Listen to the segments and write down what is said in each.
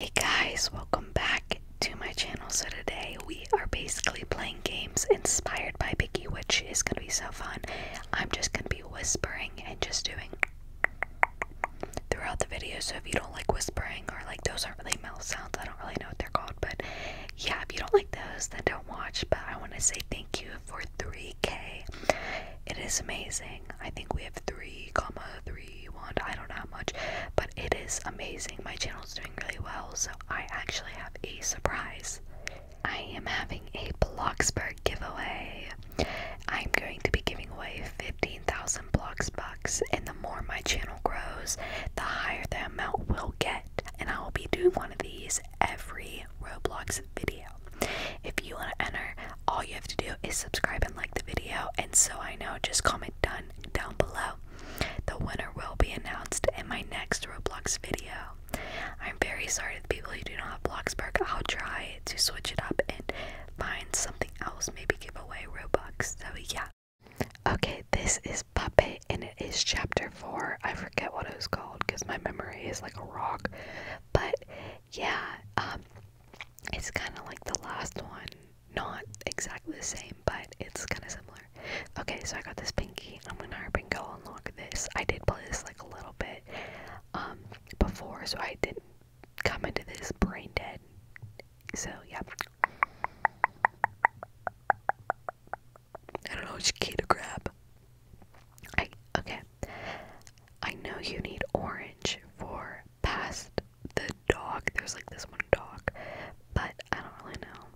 Hey guys, welcome back to my channel. So today we are basically playing games inspired by Biggie, which is going to be so fun. I'm just going to be whispering and just doing throughout the video. So if you don't like whispering or like those aren't really mouth sounds, I don't really know what they're called. But yeah, if you don't like those, then don't watch. But I want to say thank you for 3K. It is amazing. I think we have 3, comma 3 31 I don't know how much but it is amazing my channel is doing really well so I actually have a surprise I am having a Bloxburg giveaway I'm going to be giving away 15,000 blocks bucks and the more my channel grows the higher the amount will get and I will be doing one of these every Roblox video if you want to enter all you have to do is subscribe and like the video and so I know just comment done down below. The winner will be announced in my next Roblox video. I'm very sorry to the people who do not have Bloxburg. I'll try to switch it up and find something else, maybe give away Roblox. So, yeah. Okay, this is Puppet and it is chapter 4. I forget what it was called because my memory is like a rock. But yeah, um, it's kind of like the last one. Not exactly the same, but it's kind of similar. Okay, so I got this pinky. I'm gonna hurry and go unlock this. I did play this like a little bit um, before, so I didn't come into this brain dead. So, yeah. I don't know which key to grab. okay. I know you need orange for past the dog. There's like this one dog, but I don't really know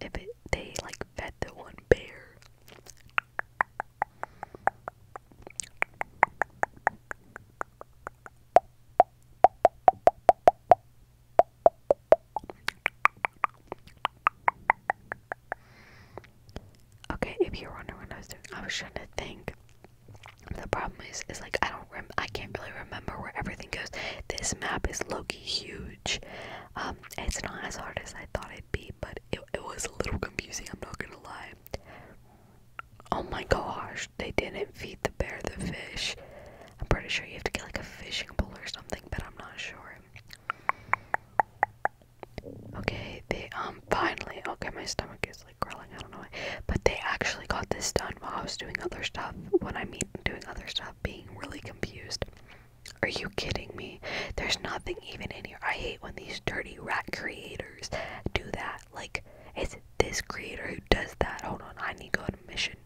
if it, they like fed the one bear. Okay, if you're wondering what I was doing, I was trying to think the problem is, is like I don't I can't really remember where everything goes. This map is Loki huge. Um, it's not as hard as I thought it'd be, but it was a little confusing. I'm not gonna lie. Oh my gosh, they didn't feed the bear the fish. I'm pretty sure you have to get like a fishing pole or something, but I'm not sure. Okay, they um finally. Okay, my stomach is like crawling. I don't know. Why. But they actually got this done while I was doing other stuff. When I am doing other stuff, being really confused. Are you kidding me? There's nothing even in here. I hate when these dirty rat creators do that. Like, it's this creator who does that. Hold on, I need to go on a mission.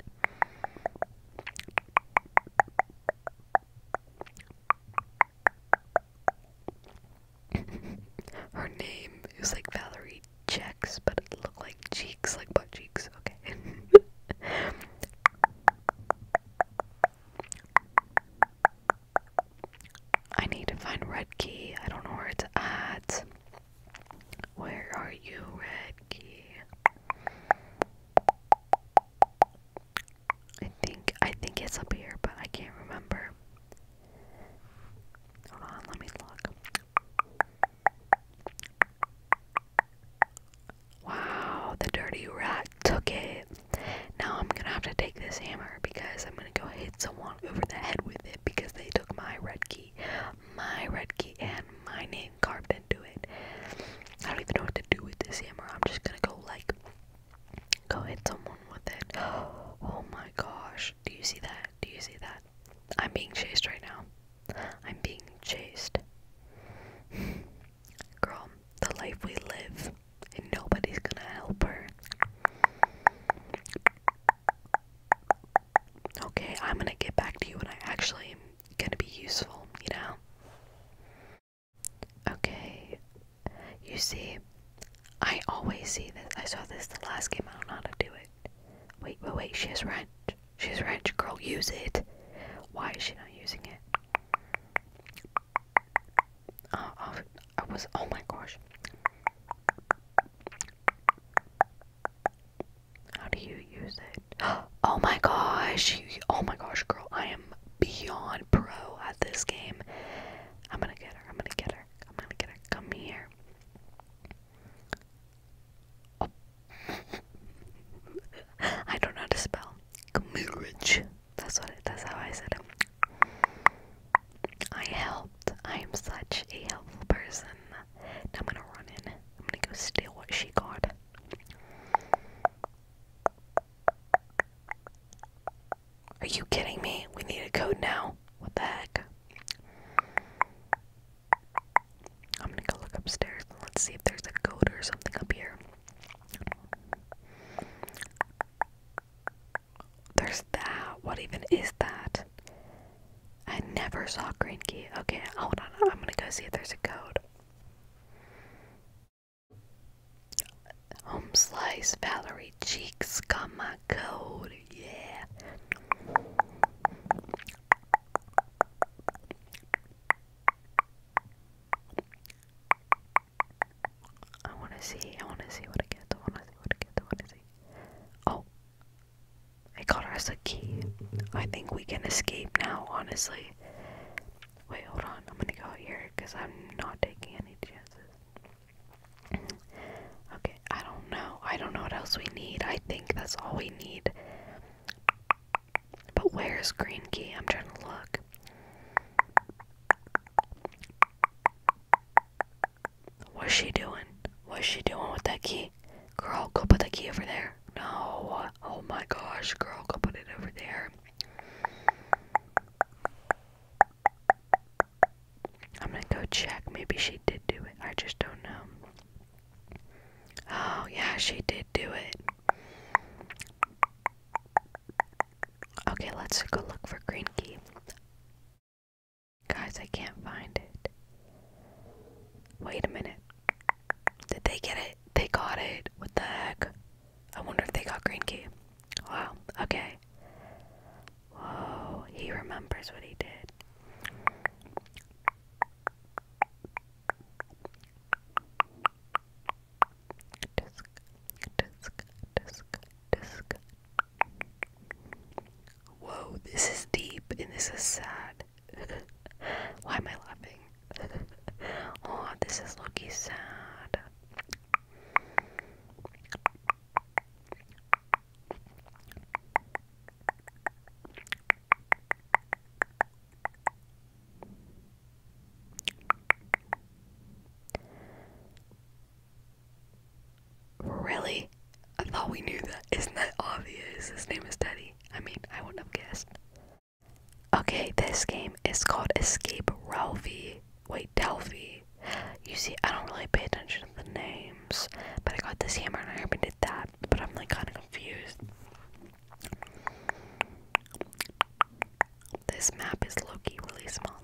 Her name is like Valerie checks, but it looked like cheeks, like butt cheeks. Okay. I need to find Red Key. I don't know where it's at. Where are you, Red Key? I think I think it's up here, but I can't remember. Hold on, let me look. Wow, the dirty rat took it. Now I'm gonna have to take this hammer because I'm gonna go hit someone over the head with it because they took my red key. My red key and my name carved into it. I don't even know what to do with this hammer. I'm just gonna go like go hit someone with it. Oh my gosh do you see that? Do you see that? I'm being chased right now. I'm being chased. Girl, the life we live, and nobody's gonna help her. Okay, I'm gonna get back to you when I actually am gonna be useful, you know? Okay, you see, I always see this. I saw this the last game, I don't know how to do it. Wait, wait, wait, she has wrench. She has wrench, girl, use it. Why is she not using it? Oh, I was, oh my gosh. How do you use it? Oh my gosh, you, oh my gosh, girl, I am beyond pro at this game. I'm gonna get her, I'm gonna get her, I'm gonna get her, come here. I don't know how to spell. Gmirage. That's what it that's how I said it. I helped. I am such a helpful person. I'm gonna run in. I'm gonna go steal what she got. Are you kidding me? We need a code now. What the heck? I'm gonna go look upstairs let's see if there's a goat or something up here. There's that. What even is that? I never saw green key. Okay, hold on. I'm gonna go see if there's a goat. Home slice, Valerie cheeks, come cold, yeah. I wanna see, I wanna see what I get, I wanna see what I get, I wanna see. Oh, I got us a key. I think we can escape now, honestly. Wait, hold on, I'm gonna go out here because I'm not taking any chances. Okay, I don't know. I don't know what else we need. I think that's all we need. But where's green key? I'm trying to look. What's she doing? What's she doing with that key? Girl, go put the key over there. No. Oh my gosh, girl, go put it over there. I'm gonna go check. Maybe she did do it. I just don't know. Oh, yeah, she did do it. Okay, let's go look for Green Key. Guys, I can't find it. Wait a minute. Did they get it? They got it. What the heck? I wonder if they got Green Key. Wow, okay. Whoa, he remembers what he did. Disc, disc, disc, disc. Whoa, this is deep and this is sad. Why am I laughing? oh, this is looking sad. Really? I thought we knew that. Isn't that obvious? His name is Teddy. I mean, I wouldn't have guessed. Okay, this game is called Escape Ralphie. Wait, Delphi. You see, I don't really pay attention to the name. But I got this hammer and I haven't did that. But I'm like kind of confused. This map is Loki really small.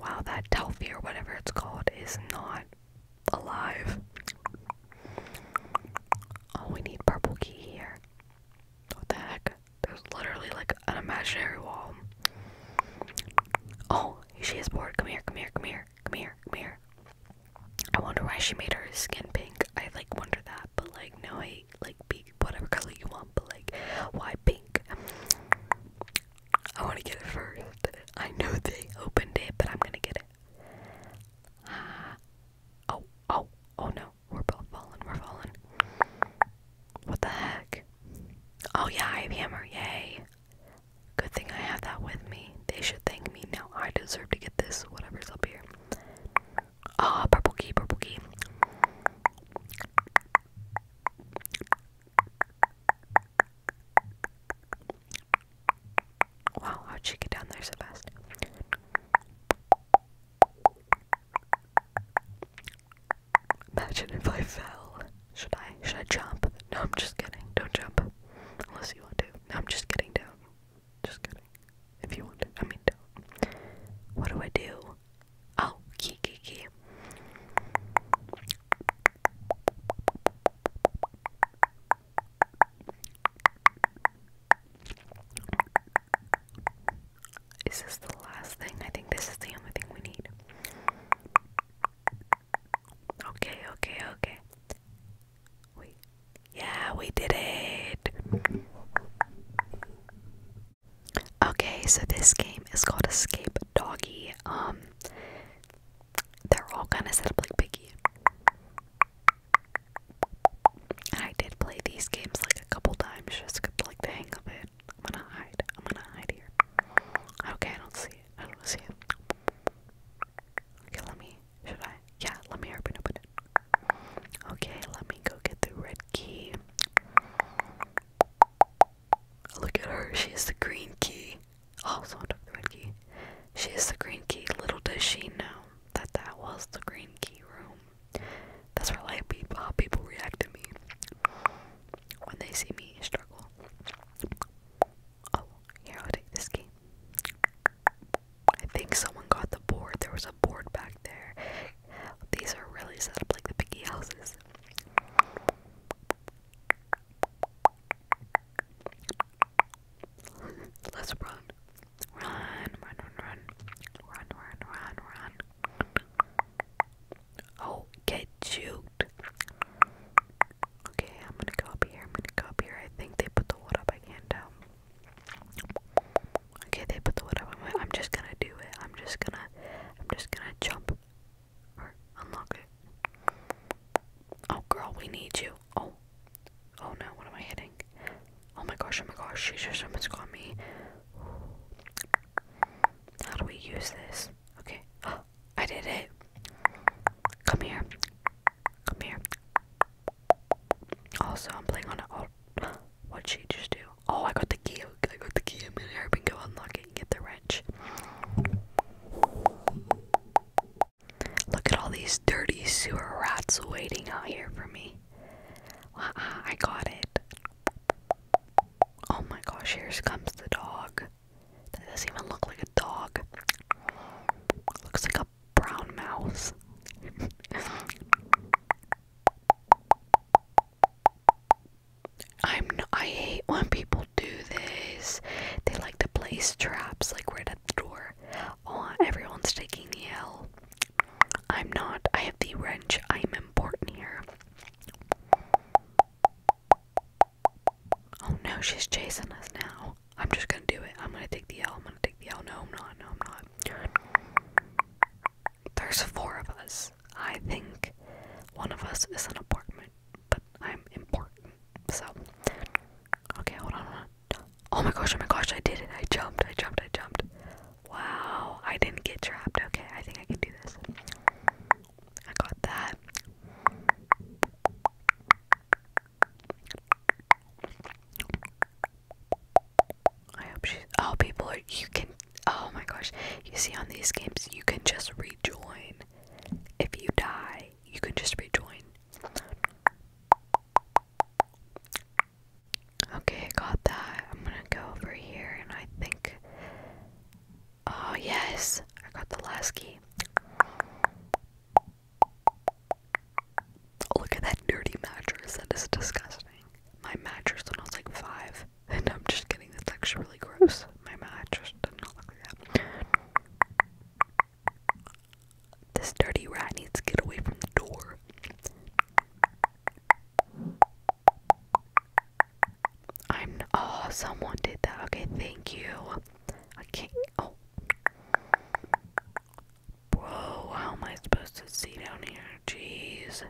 Wow, that Delphi or whatever it's called is not alive. Oh, we need purple key here. What the heck? There's literally like an imaginary wall. Oh, she is bored. Come here, come here, come here, come here, come here. I wonder why she made her skin pink. I like wonder that, but like no, I like be whatever color you want, but like why pink? I want to get it first. I know they opened it, but I'm gonna get it. Oh, oh, oh no. We're both falling, we're falling. What the heck? Oh yeah, I have hammer, yay. Good thing I have that with me. They should thank me. now. I deserve to get this, whatever's up here. Ah, purple key, purple key. Wow, how'd she get down there so fast? Imagine if I fell. Should I? Should I jump? No, I'm just kidding. Don't jump. Unless you want to. No, I'm just kidding, do Just kidding. If you want to. I mean, What do I do? Oh, key, is this the last thing? I think this is the only thing we need. Okay, okay, okay. Wait. Yeah, we did it! Okay, so this game is called Escape Doggy. Um, they're all kind of set up like Piggy. I did play these games like a couple times just to like the hang of it. I'm gonna hide. I'm gonna hide here. Okay, I don't see it. I don't see it. Okay, let me. Should I? Yeah, let me open open it. Okay, let me go get the red key. Look at her. She has the green key also oh, took the red key. She is the green key. Little does she know that that was the green key room. That's where like people, how people react to me when they see me struggle. Oh, here I'll take this key. I think someone got the board. There was a board back there. These are really set up like the piggy houses. Let's run. Run, run, run, run. Run, run, run, run. Oh, get juked. Okay, I'm gonna go here. I'm gonna go here. I think they put the wood up. I can't tell. Okay, they put the wood up. I'm just gonna do it. I'm just gonna, I'm just gonna jump or unlock it. Oh, girl, we need you. Oh, Oh no, what am I hitting? Oh my gosh, oh my gosh, someone's got me. How do we use this? Okay. Oh, I did it. Come here. Come here. Also, I'm playing on it. Oh, what'd she just do? Oh, I got the key. I got the key. I'm gonna go unlock it and get the wrench. Look at all these dirty sewer rats waiting out here for me. I got it. Oh my gosh, here comes the dog. does even look like a dog. Looks like a brown mouse. I'm n I hate when people do this. They like to place traps like right at the door. Oh, everyone's taking the L. I'm not. I have the wrench. I'm important here. Oh no, she's chasing us now. I'm just gonna do it. I'm gonna take the L. I'm gonna take the L. No, I'm not. No, I'm not. There's four of us. I think one of us is an apartment, but I'm important. So, okay, hold on. Oh my gosh, oh my gosh, I did it. I jumped, I jumped, I jumped. Wow, I didn't get trapped. Okay, I think I can do this. I got that. I hope Oh, people You can. Oh my gosh. You see, on these games, you can just rejoin. If you die, you can just rejoin. Okay, got that. I'm gonna go over here and I think. Oh, yes! I got the last key. Oh, look at that dirty mattress. That is disgusting. My mattress when I was like five. And I'm just kidding. That's actually really gross. My mattress does not look like that. This dirty rat needs to get away from the door. I'm. Oh, someone did that. Okay, thank you. I can't. Oh. Bro, how am I supposed to see down here? Jeez.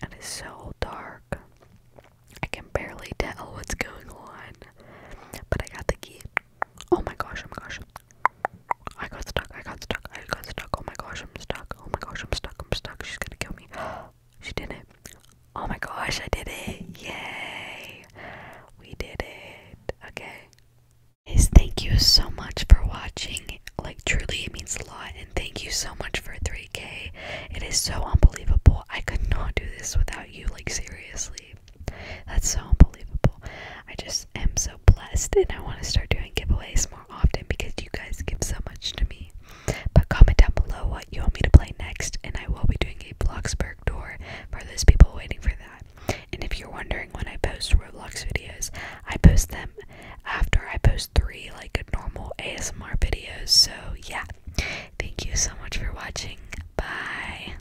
It is so dark. I can barely tell what's going on. But I got the key. Oh my gosh, oh my gosh. I got stuck, I got stuck, I got stuck. Oh my gosh, I'm stuck. Oh my gosh, I'm stuck, I'm stuck. She's gonna kill me. she did it. Oh my gosh, I did it. Yay. We did it. Okay. Guys, thank you so much for watching. Like, truly, it means a lot. And thank you so much for 3K. It is so unbelievable. I could not do this without you. Like, seriously. That's so unbelievable. I just am so blessed and I want to start doing giveaways more often because you guys give so much to me. But comment down below what you want me to play next and I will be doing a Bloxburg tour for those people waiting for that. And if you're wondering when I post Roblox videos, I post them after I post three like normal ASMR videos. So yeah. Thank you so much for watching. Bye.